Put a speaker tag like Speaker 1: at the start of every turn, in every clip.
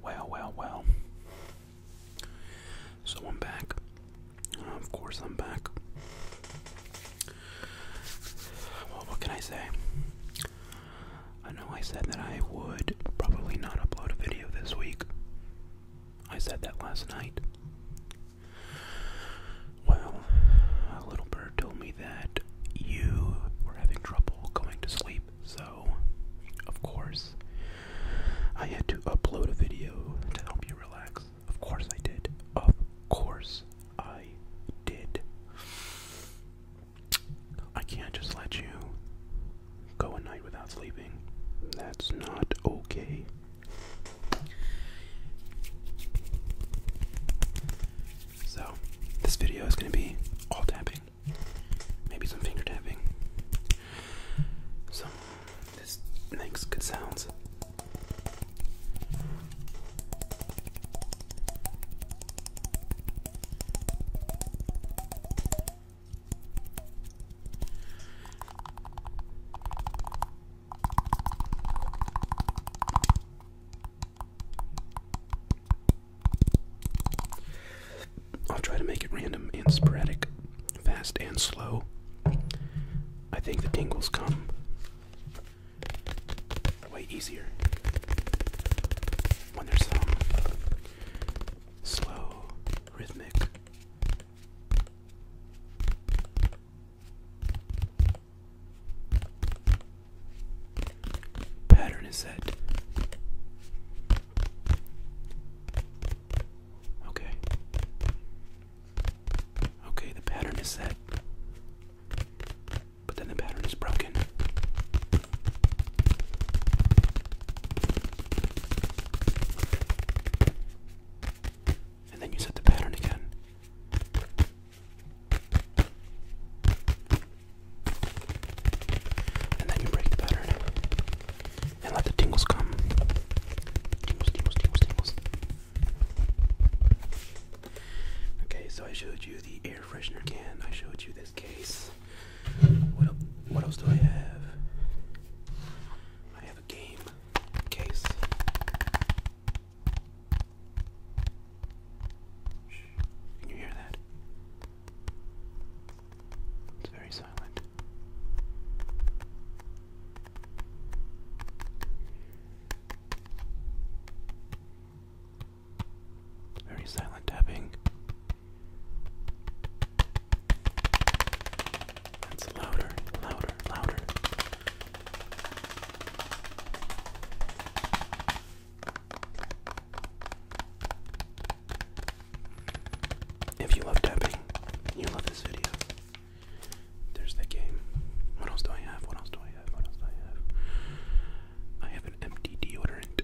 Speaker 1: Well, well, well. So I'm back. of course, I'm back. Well, what can I say? I know I said that I would probably not upload a video this week. I said that last night. Well, a little bird told me that you were having trouble going to sleep, so of course I had to upload a video to help you relax. Of course I did. Of course I did. I can't just let you go a night without sleeping. That's not okay. So, this video is going to be all tapping. Maybe some finger tapping. So, this makes good sounds. I'll try to make it random and sporadic, fast and slow. I think the tingles come way easier when there's some slow, rhythmic Pattern is set. Okay. Okay, the pattern is set. But then the pattern is broken and then you set the pattern again. And then you break the pattern and let the tingles come. Tingles, tingles, tingles, tingles. Okay, so I showed you the air freshener can. I showed you this case. What, what else do I have have a game case. Shh. Can you hear that? It's very silent. Very silent tapping. That's louder, louder, louder. If you love tapping, you love this video. There's the game. What else do I have? What else do I have? What else do I have? I have an empty deodorant.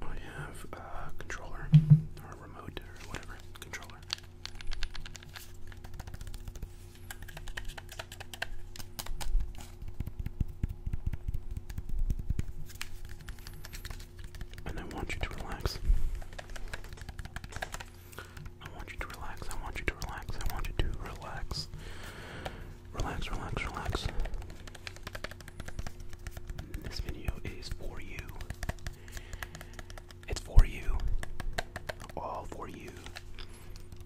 Speaker 1: I have a controller or remote or whatever controller. And I want you to relax. I want you to relax. I want you to relax. I want you to relax. Relax, relax, relax. This video is for you. It's for you. All for you.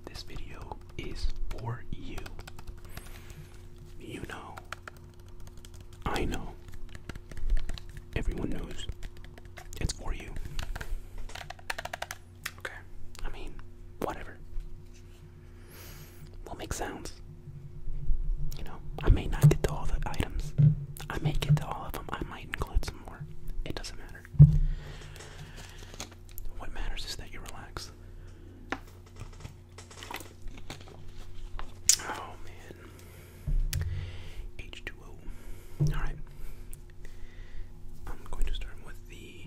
Speaker 1: This video is for you. You know. I know. Everyone knows. It's for you. Okay. I mean, whatever. We'll make sounds. You know, I may not get to all the items. I may get to all of them. I might include some more. It doesn't matter. What matters is that you relax. Oh man. H2O. Alright. I'm going to start with the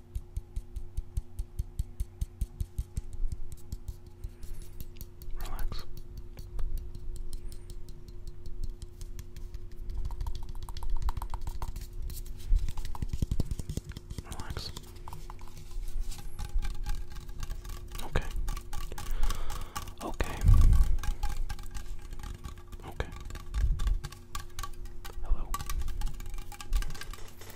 Speaker 1: Relax. Relax. Okay. Okay. Okay. Hello.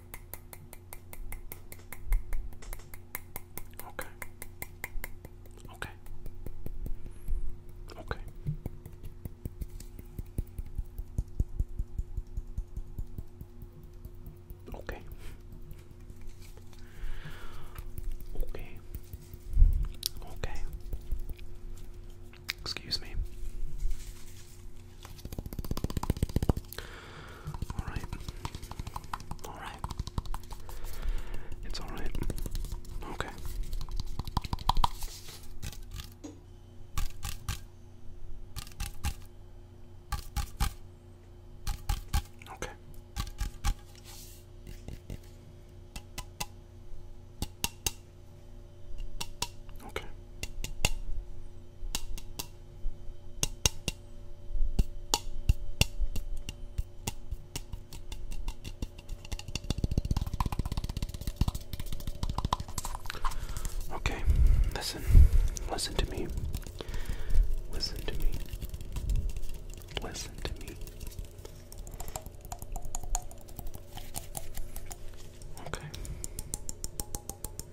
Speaker 1: Okay. Okay. Okay. Okay. Okay. Okay. Excuse me. Alright. Alright. It's alright. Okay. Okay. Okay. Okay, listen, listen to me. Listen to me. Listen to me. Okay.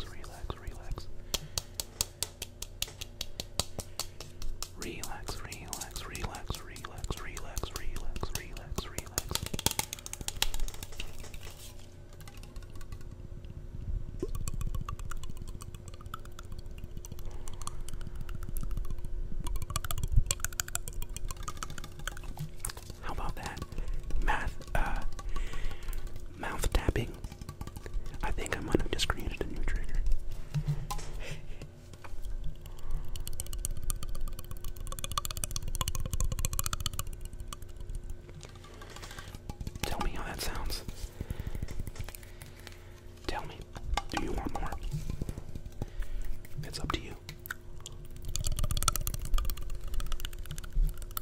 Speaker 1: relax, relax, relax. Relax, relax, relax, relax, relax, relax, relax, relax. How about that? math, uh, mouth tapping. I think I might have just created a new trigger. Tell me how that sounds. Tell me, do you want more? It's up to you.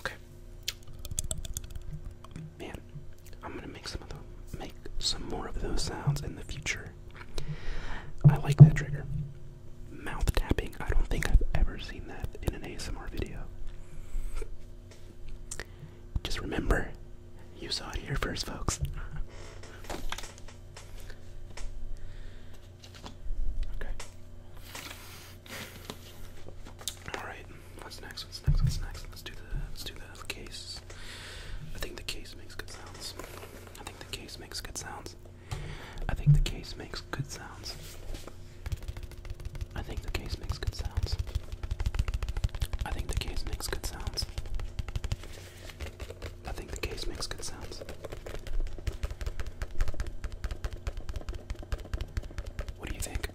Speaker 1: Okay. Man, I'm gonna make some of the, make some more of those sounds in the future. I like that trigger. Mouth tapping. I don't think I've ever seen that in an ASMR video. Just remember, you saw it here first, folks. Okay. Alright, what's next? What's next? What's next? Let's do the let's do the case. I think the case makes good sounds. I think the case makes good sounds. I think the case makes good sounds. I think the case makes good sounds. I think the case makes good sounds. I think the case makes good sounds. What do you think?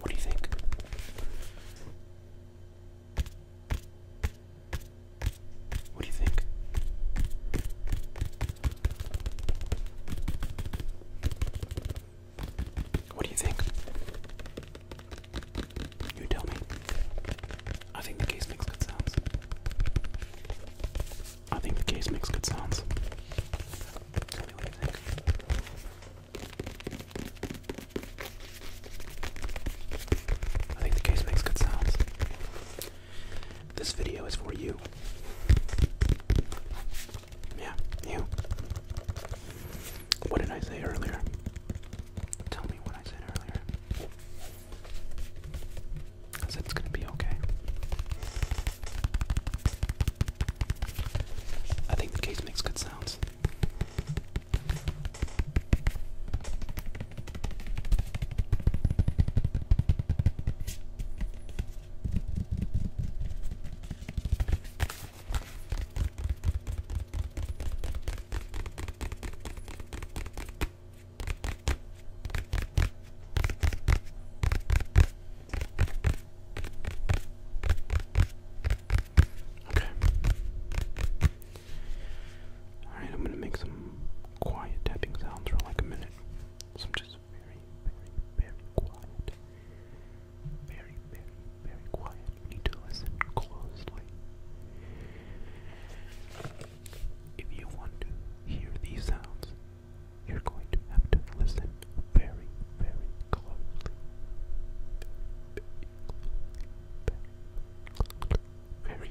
Speaker 1: What do you think? What do you think? What do you think? You tell me. I think the case makes good sounds. I think the case makes good sounds. I think the case makes good sounds. This video is for you. Yeah, you. What did I say earlier? Tell me what I said earlier. I said it's gonna be okay. I think the case makes good sounds. Okay. Alright, I'm gonna make some quiet tapping sounds for like a minute. So just very, very, very quiet very, very, very quiet. You need to listen closely. If you want to hear these sounds, you're going to have to listen very, very closely. Very, very,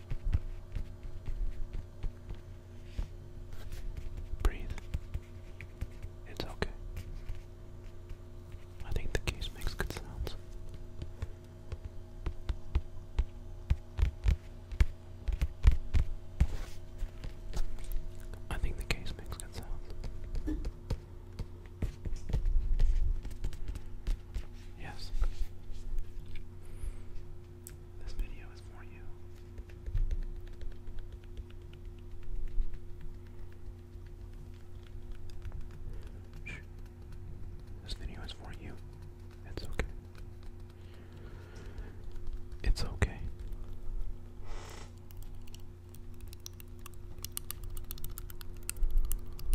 Speaker 1: Breathe. It's okay. I think the case makes good sounds. I think the case makes good sounds. Yes. This video is for you. This video is for you. It's okay. It's okay.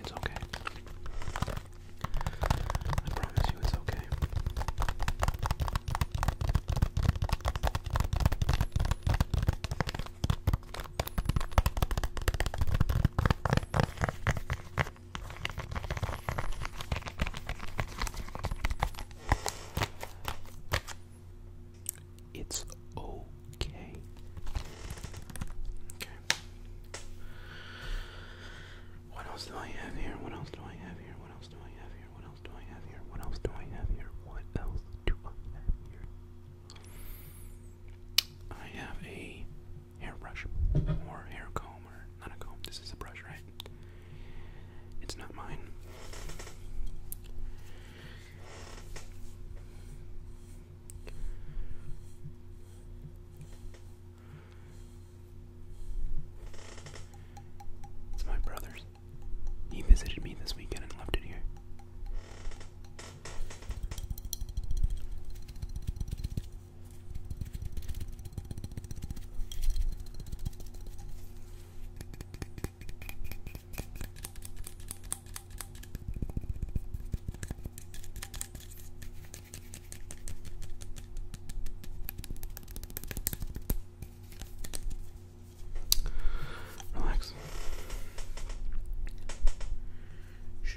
Speaker 1: It's okay. I promise you it's okay. It's okay. Okay. What else do I have here? What else do I have here? What else do I have here? What else do I have here? What else do I have here? What else do I have here? I have a hairbrush or hair comb or not a comb. This is a brush, right? It's not mine. It's my brother's. He visited me this weekend and left it here. Relax. Shh.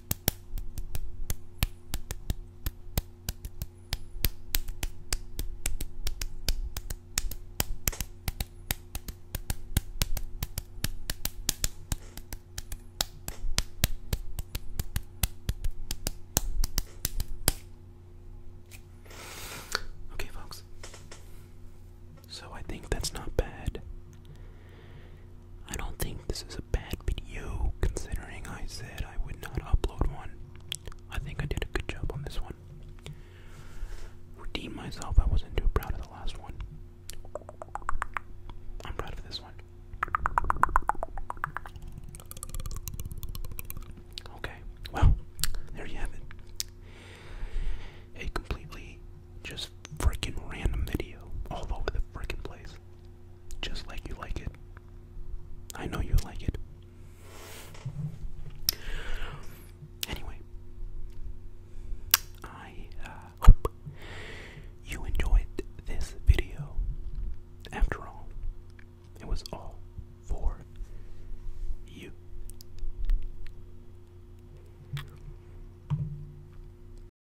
Speaker 1: Okay, folks. So I think that's not bad. I don't think this is a bad video considering I said I would not upload one. I think I did a good job on this one. Redeem myself, I wasn't too proud of the last one. I'm proud of this one. Okay, well, there you have it. A completely just freaking random video all over the freaking place just like you like it. I know you like it. Anyway, I uh, hope you enjoyed this video. After all, it was all for you.